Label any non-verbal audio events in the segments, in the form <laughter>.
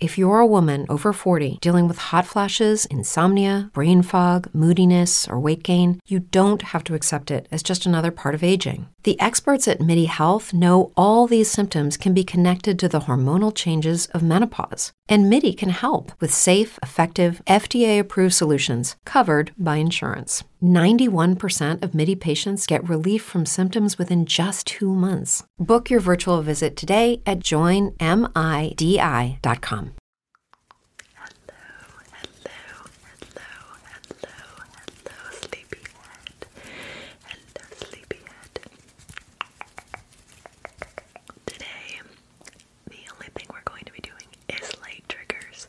If you're a woman over 40 dealing with hot flashes, insomnia, brain fog, moodiness, or weight gain, you don't have to accept it as just another part of aging. The experts at MIDI Health know all these symptoms can be connected to the hormonal changes of menopause, and MIDI can help with safe, effective, FDA approved solutions covered by insurance. 91% of MIDI patients get relief from symptoms within just two months. Book your virtual visit today at joinmidi.com. Hello, hello, hello, hello, hello, sleepyhead. Hello, sleepyhead. Today, the only thing we're going to be doing is light triggers.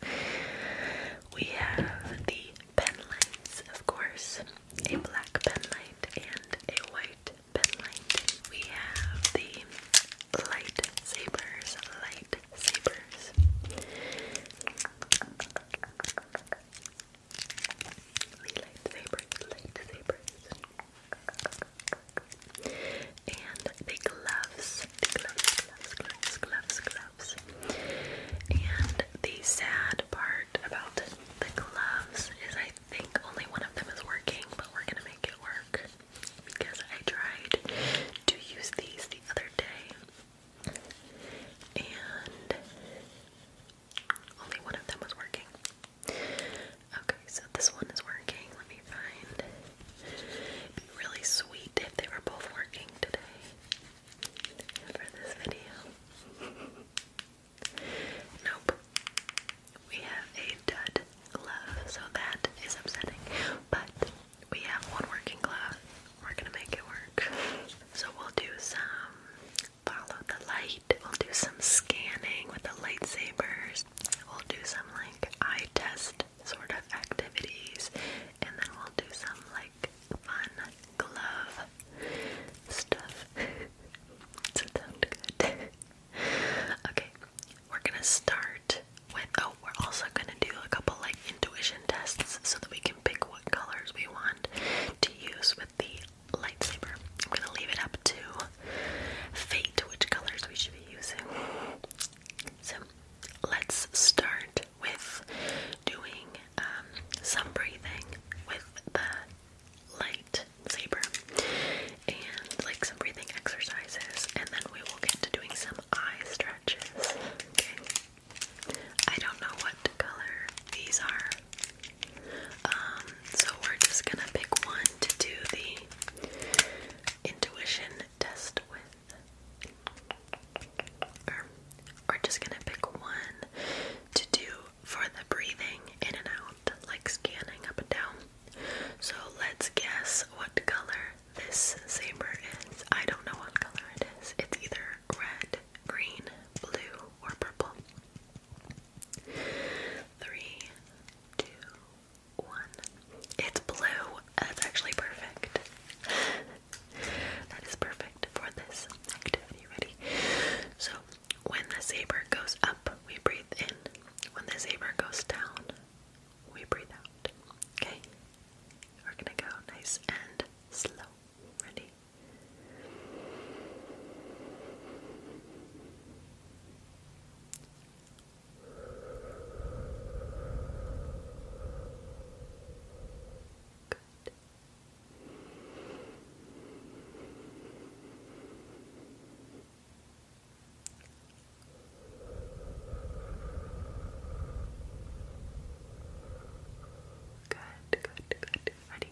We have the pen of course, a black pen and a white we have the lightsabers, lightsabers. The lightsabers, lightsabers. And the gloves, gloves, gloves, gloves, gloves, gloves. And the sad part about the gloves is I I think only one of them is working, but we're gonna make it work because I tried to use these the other day and only one of them was working. Okay, so this one is working. Let me find. It'd be really sweet if they were both working today for this video. <laughs> Nope. We have a dud glove, so that is upsetting. But we have one working glove. We're gonna make it work. So we'll do some follow the light. We'll do some scanning with the lightsabers. We'll do some like eye test sort of activities. And then we'll do some like fun glove stuff. it <laughs> sound good? <laughs> okay, we're gonna start with. Oh, we're also gonna do a couple like intuition tests so that we can pick what colors we want to use with the lightsaber. I'm gonna leave it up to fate which colors we should be using. So let's start with doing um, some breathing with the Light saber and like some breathing exercises, and then we will get to doing some eye stretches. Okay, I don't know what color these are, um, so we're just gonna pick one to do the intuition test with, we're just gonna pick one to do for the breathing in and out, like scanning up and down. So let's guess what color this saber is. I don't know what color it is. It's either red, green, blue, or purple. Three, two, one. It's blue. That's actually perfect. <laughs> that is perfect for this activity. Ready? So when the saber goes up, we breathe in. When the saber goes down, we breathe out. Okay? We're gonna go nice and slow. Ready? Good. Good, good, good. Ready? Good. Good. Ready?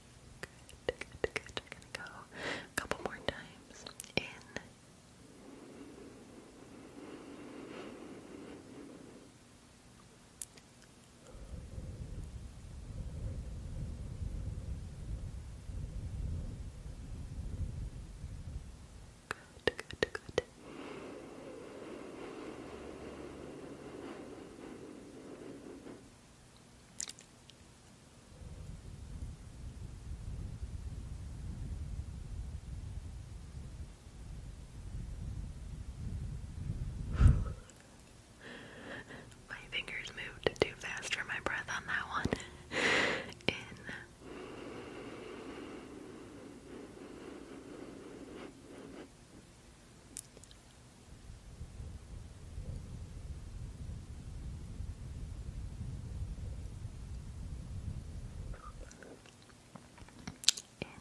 Good, good, good. We're gonna go a couple more times. In. Good, good, good my fingers moved too fast for my breath on that one. In. In. And.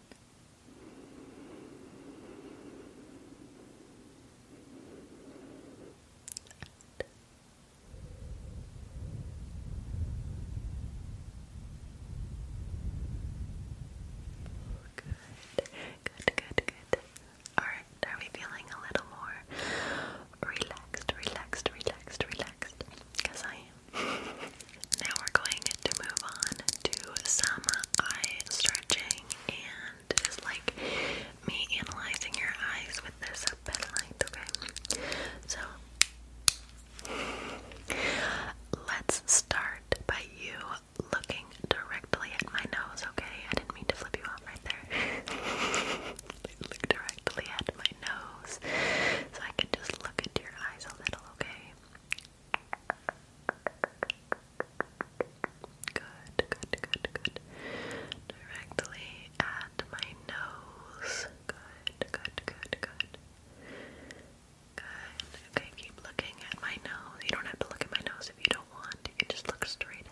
Good, good, good, good. Alright, are we feeling a little more relaxed, relaxed, relaxed, relaxed? Because I am. <laughs> now we're going to move on to some eye stretching, and like me analyzing your eyes with this bed light, okay? So, <laughs> let's start by you looking directly at my nose, okay? I didn't mean to flip you off right there. <laughs> look directly at my nose. So I can just look into your eyes a little, okay? Good, good, good, good. Directly at my nose. Good, good, good, good. Good. Okay, keep looking at my nose. You don't have to look at my nose if you don't want. You just look straight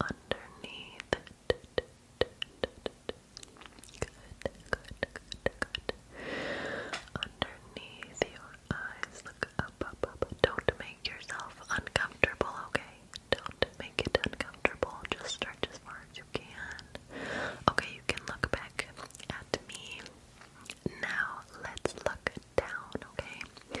underneath. Good, good, good, good. Underneath your eyes, look up, up, up. Don't make yourself uncomfortable, okay? Don't make it uncomfortable. Just stretch as far as you can. Okay, you can look back at me. Now let's look down, okay?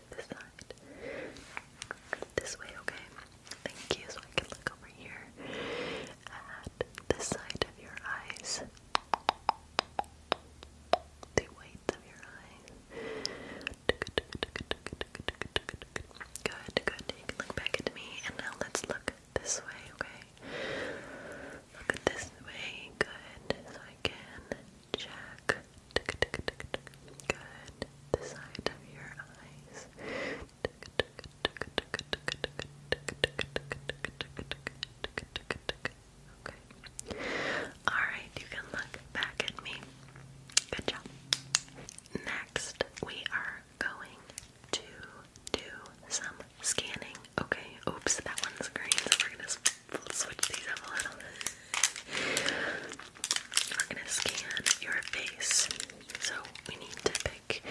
to side. This way, okay? Thank you. So I can look over here at the side of your eyes. The whites of your eyes. Good, good. You can look back at me. And now let's look this way, okay? Look at this way. Good. So I can check Good. The side of your eyes. Okay. Alright, you can look back at me. Good job. Next, we are going to do some scanning. Okay, oops, that one's green, so we're gonna switch these up a little. bit. We're gonna scan your face. So we need to pick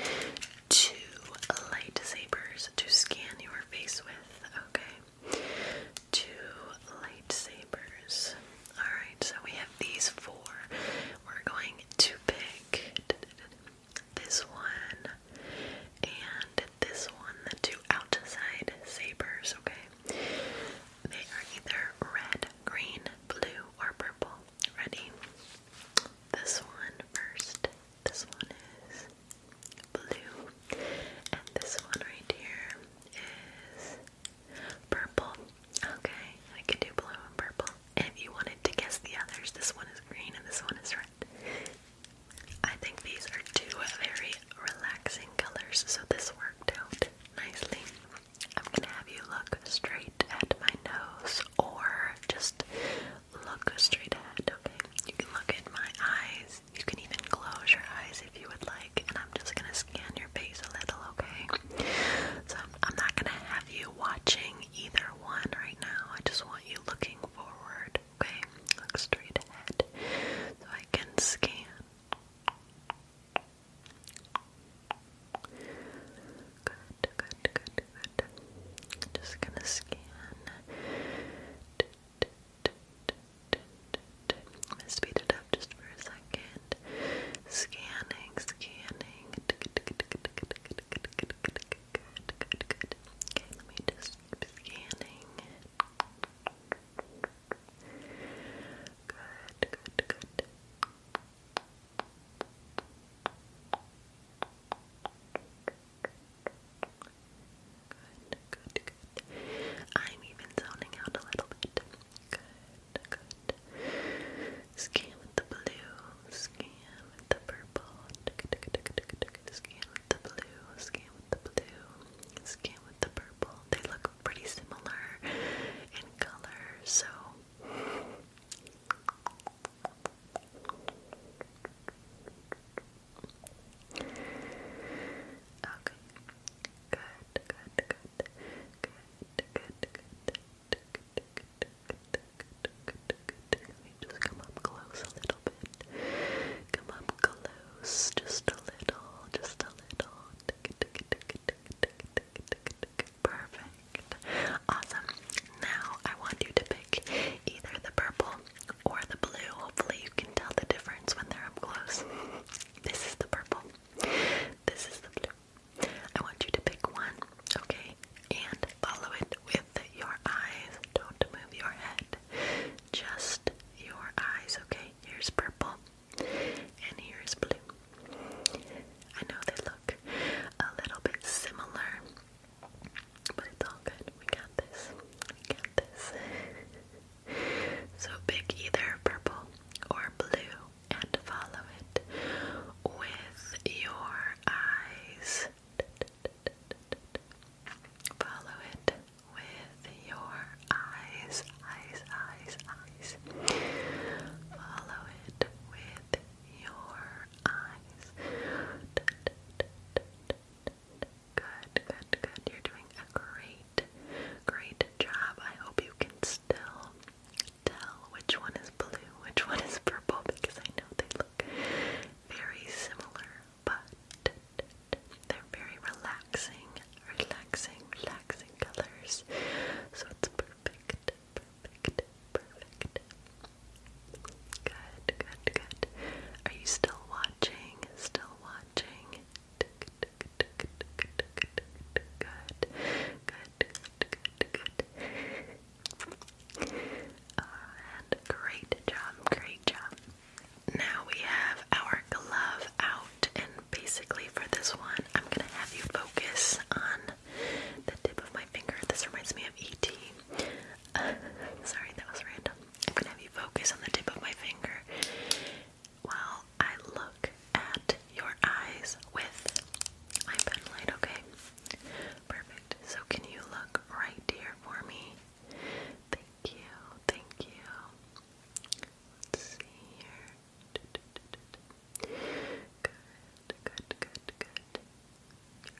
two lightsabers to scan your face with, okay? Two lightsabers. Alright, so we have these four. We're going to pick this one and this one, the two outside sabers, okay? They are either red, green, blue, or purple. Ready? This one first. This one is blue. And this one right here is purple. Okay, I could do blue and purple. if you wanted to guess the others, this one is green and this one is red. I think these are two very relaxing colors, so this worked out nicely. I'm gonna have you look straight at my nose or just look straight ahead, okay? You can look at my eyes. You can even close your eyes if you would like, and I'm just gonna scan your face a little, okay? So I'm, not gonna have you watching either one right now. I just want you looking forward, okay? Look straight ahead so I can scan. Good, good, good, good. Just gonna scan. I'm gonna speed it up just for a second. Scanning, scanning. Good, good, good. Okay, let me just scanning. Good, good, good good, good. I'm even zoning out a little bit. Good, good. Scan with the blue, scan with the purple, scan with the blue, scan with the blue, scan with the purple. They look pretty similar in color, so Okay. Good, good, good. Good, good, good. Let me just come up close a little bit. Come up close, just a little, just a little. Perfect. Awesome. Now I want you to pick either the purple or the blue. Hopefully you can tell the difference when they're up close. This is the purple. This is the blue. I want you to pick one, okay? And follow it with your eyes. Don't move your head. Just your eyes, okay? Here's purple and here is blue. I know they look a little bit similar, but it's all We got this. We got this. so pick either purple or blue and follow it with your eyes. Follow it with your eyes, eyes, eyes, Follow it with your eyes. Good, good, good. You're doing a great, great job. I hope you can still tell which one is blue, which one is purple, because I know they look very similar, but they're very relaxing, relaxing, relaxing colors. So it's perfect, perfect, perfect. Good, good, good. Are you still watching? Still watching? Good, good, good, good, good, good. And great job, great job. Now we have our glove out, and basically for this one, I'm gonna have you focus on the tip of my finger. This reminds me of E.T. <laughs> sorry, that was random. I'm gonna have you focus on the tip of my finger while I look at your eyes with my pen okay? Perfect. So, can you look right here for me? Thank you, thank you. see here. Good, good, good, good.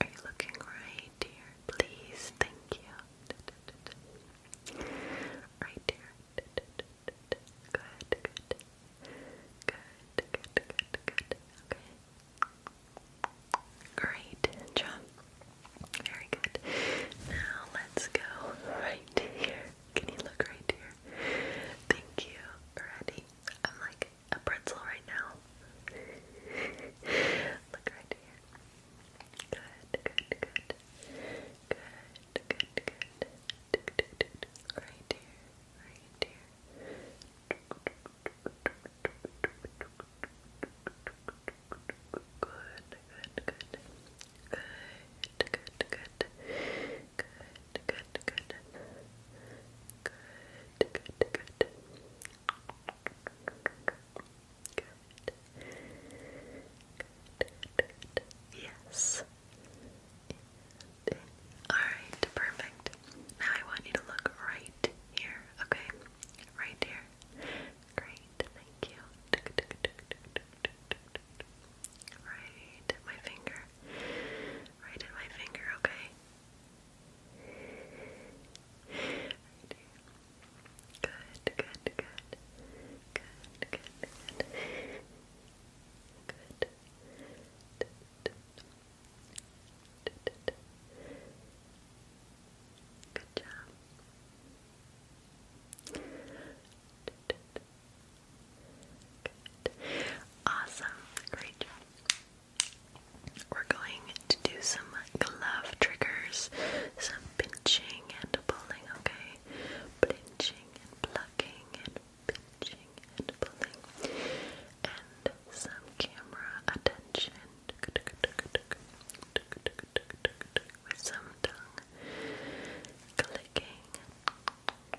Are you looking right, dear? Please, thank you. Right, dear. Good, good. Good, good, good, good. Okay. Great job. Very good. Now let's go right here. Can you look right here? Thank you. Ready? I'm like a pretzel right now. <laughs> Look right here. Good, good, good. Good, good, good. Right here, right here. Good, good, good. Good, good, good. Good, good, good. Good, good, good. Good. Good, Yes. Alright, perfect. Now I want you to look right here, okay? Right here. Great, thank you. Right, my finger right in my finger, okay? Good, good, good. Good, good, good. job. Awesome. Great job. We're going to do some glove triggers, some pinching and pulling, okay? Pinching and plucking and pinching and pulling. And some camera attention. With some tongue clicking.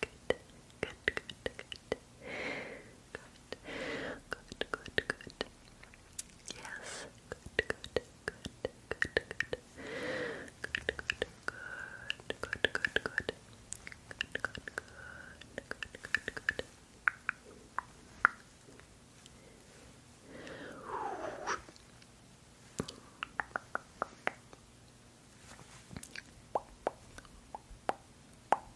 Good, good, good, good. Good, good, good, good. Yes, good, good, good, good, good. Good, good, good, good, good, good. Good, good, good, good, good, good. Good,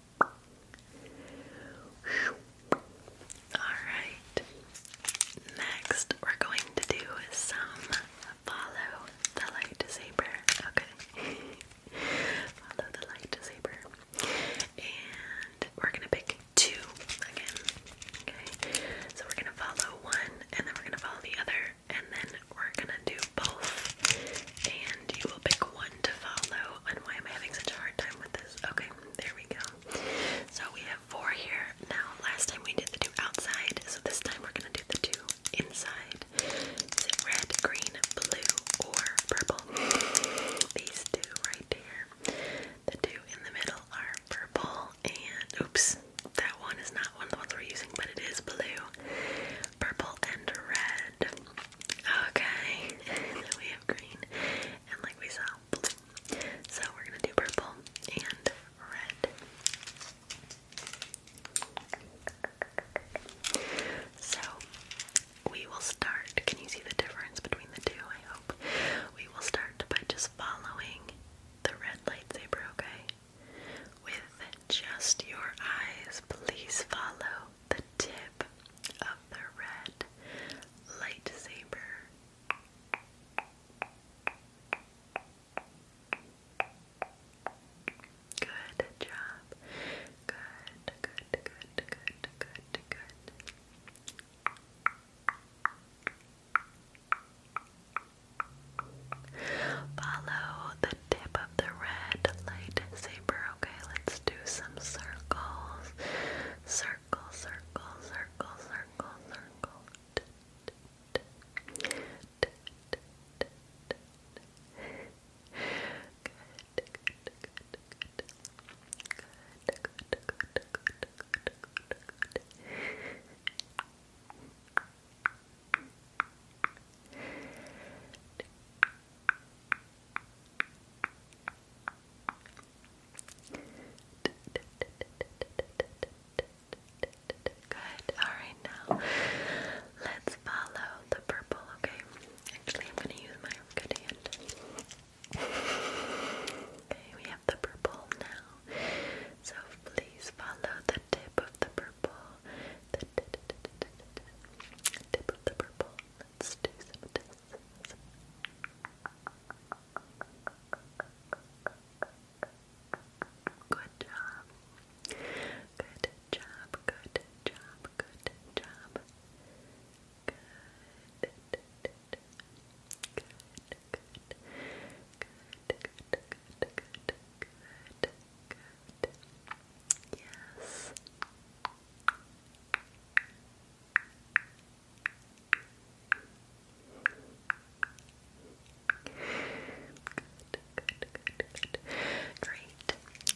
Alright, next we're going to do some follow the light saber. Okay, <laughs> follow the light saber, and we're gonna pick two again. Okay, so we're gonna follow one, and then we're gonna follow the other, and then we're gonna do both. And you will pick one to follow, and why am I having such a hard time with this? Okay, there we go. So we have four here. Now, last time we did the two outside, so this time we're gonna do the two inside. Is red, green, blue, or purple? These two right here. The two in the middle are purple and oops, that one is not one of the ones we're using, but it is blue, purple, and red. Okay, <laughs> we have green, and like we saw, So we're gonna do purple and red. So we will start. Can you see the difference between the two? I hope. We will start by just following the red lightsaber, okay? With just your eyes, please follow the tip of the red lightsaber. Good job. Good, good, good, good, good, good. Follow the tip of the red lightsaber paper. Okay, let's do some circles. Circle, circle, circle, circle, circle. Good. Good, good, good, good. Good, good, good, good, good, good, good. Good, Good. Alright, now let's follow the purple, okay? Actually, I'm going to use my good hand. Okay, we have the purple now. So please follow the tip of the purple. The tip of the purple. Let's do some Good job. Good job. Good job. Good job. Good. Good. Good. Good. Good. Good. Good. Good. Yes. Great.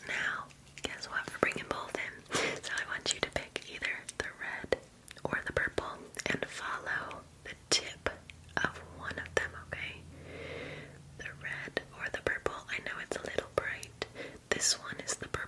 Now, guess what? We're bringing both in. So I want you to pick either the red or the purple and follow the tip of one of them, okay? The red or the purple. I know it's a little bright. This one is the purple.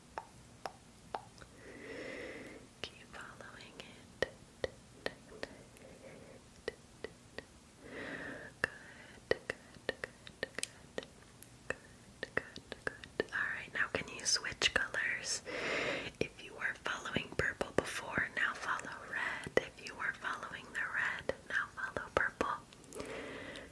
Keep following it. Good, good, good, good. Good, good, good. Alright, now can you switch colors? If you were following purple before, now follow red. If you were following the red, now follow purple.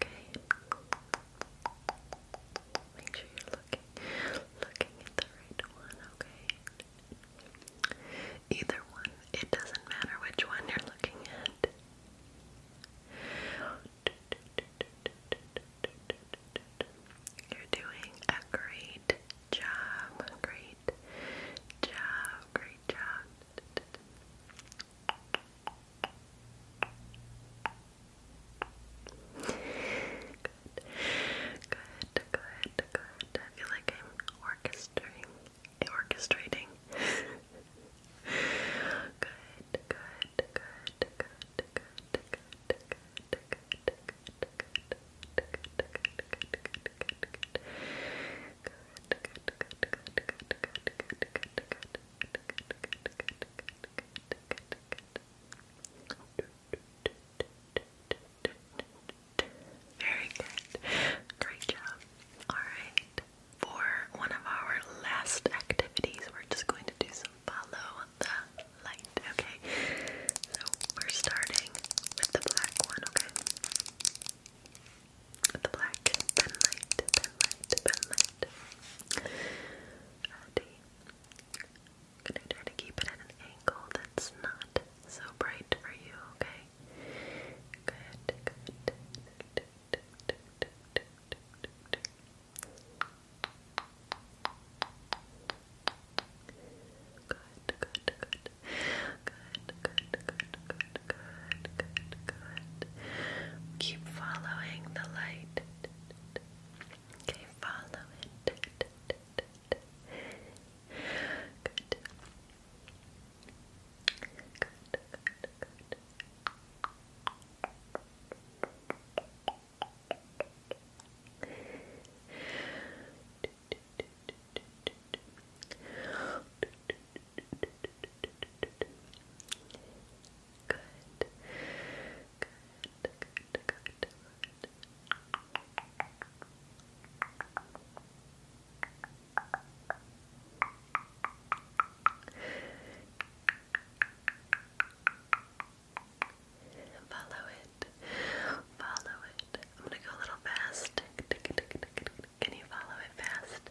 Okay. Make sure you're looking looking at the right one, okay? Either one. It doesn't matter which one you're looking at. You're doing a great job. Great job. Great job. Good, good, good, good. I feel like I'm orchestrating, orchestrating. good, good, good, good, good, good, good, good, good. Good, good, good, good, good, good, good, good, good, good, very good. Great job. Alright. For one of our last activities, we're just going to do some follow the light. Okay. So we're starting with the black one, okay? the black pen light, pen light, pen light. I'm gonna try to keep it at an angle that's not so bright for you, okay? Good, good, good. Good, good, good, good, good, good, good. Keep following the light. Okay, follow it. Good. Good, good, Good. Follow it. Follow it. I'm gonna go a little fast. Can you follow it fast?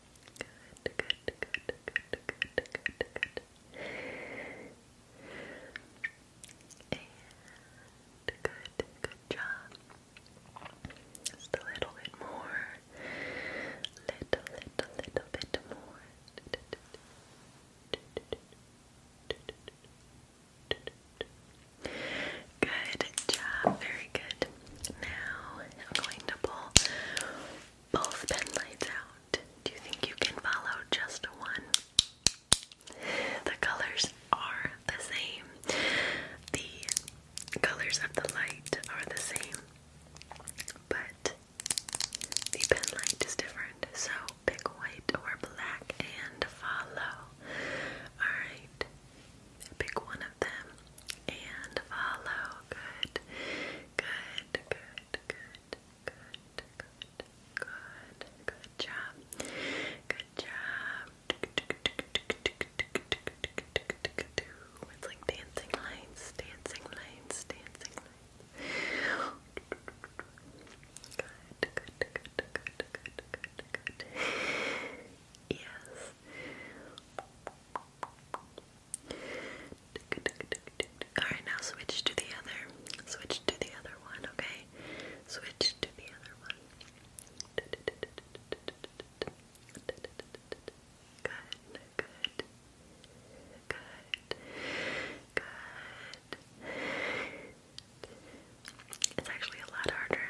Good, good, good, good, good, good, good. And good, good job. Just a little bit more. Little, little, little bit more. Good job, very good. Now I'm going both pen lights out. Do you think you can follow just one? The colors are the same. The colors of the light are the same, but the pen light is different. So pick white or black and follow. Alright, pick one of them and follow. Good, good, good, good, good, good, good, good job, good job. It's like dancing lines, dancing lines, dancing lines. Good, good, good, good, good, good, good. Yes. Good, Alright, now switch to the other. Switch to the other one, okay? Switch to the other one. Good, good. Good. Good. It's actually a lot harder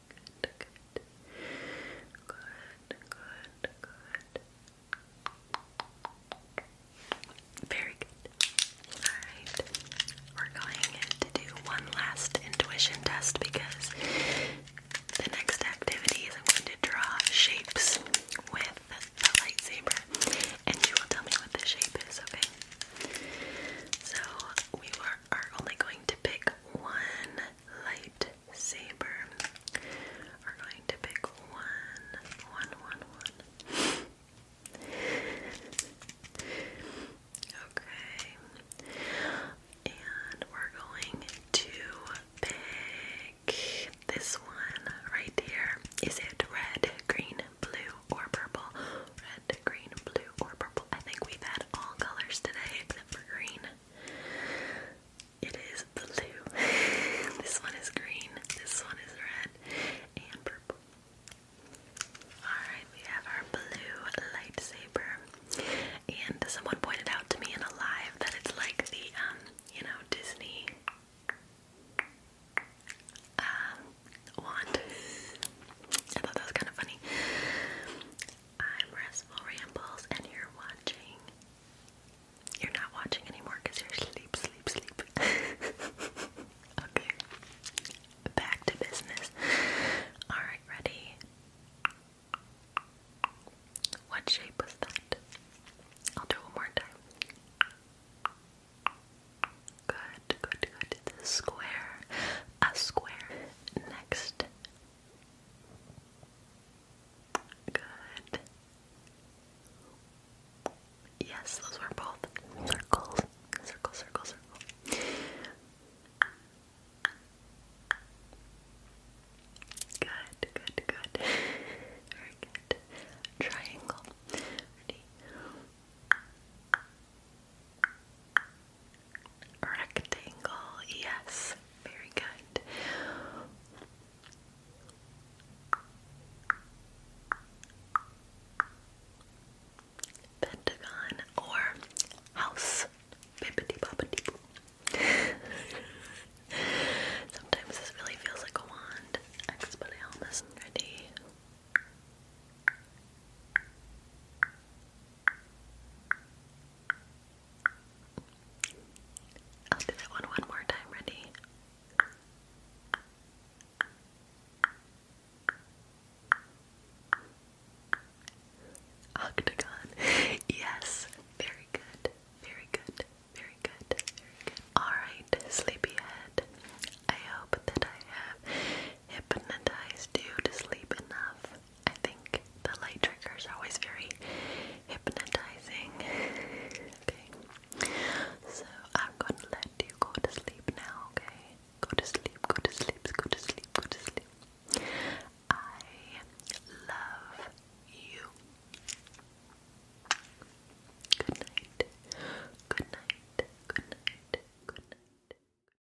good, good. Good, good, good. Very good. Alright. We're going to do one last intuition test because the next activity is I'm going to draw shapes with the lightsaber and you will tell me what the shape is, okay? So we were are only going to pick one lightsaber. Are going to pick one, one, one, one. okay. And we're going to pick this one right here. Is it red, green, blue, or purple? Red, green, blue, or purple? I think we've had all colors today except for green. It is blue. <laughs> this one is green. This one is red and purple. Alright, we have our blue lightsaber. And someone pointed out to me in live that it's like the um, you know, Disney um, wand. I thought that was kind of funny. I'm Restful Rambles, and you're watching. You're not watching anymore because you're sleep, sleep, sleep. <laughs> okay. Back to business. Alright, ready? What shape was that? I'll do one more time. Good. Good, good, good. square. A square. Next. Good. Yes, those were both circles. Circle, circle, circle. Good, good, good. Very good. Triangle. Rectangle, yes, very good. Pentagon or house. <laughs> Sometimes this really feels like a wand. ready. I'll do that one one more time. Ready? Octagon. Yes. Very good. Very good. Very good. Very good. Alright, sleepyhead. I hope that I have hypnotized you to sleep enough I think the light triggers are always very hypnotizing. <laughs> okay. So I'm gonna let you go to sleep now, okay? Go to sleep, go to sleep, go to sleep, go to sleep. I love you. Good night. Good night. Good night. Good night.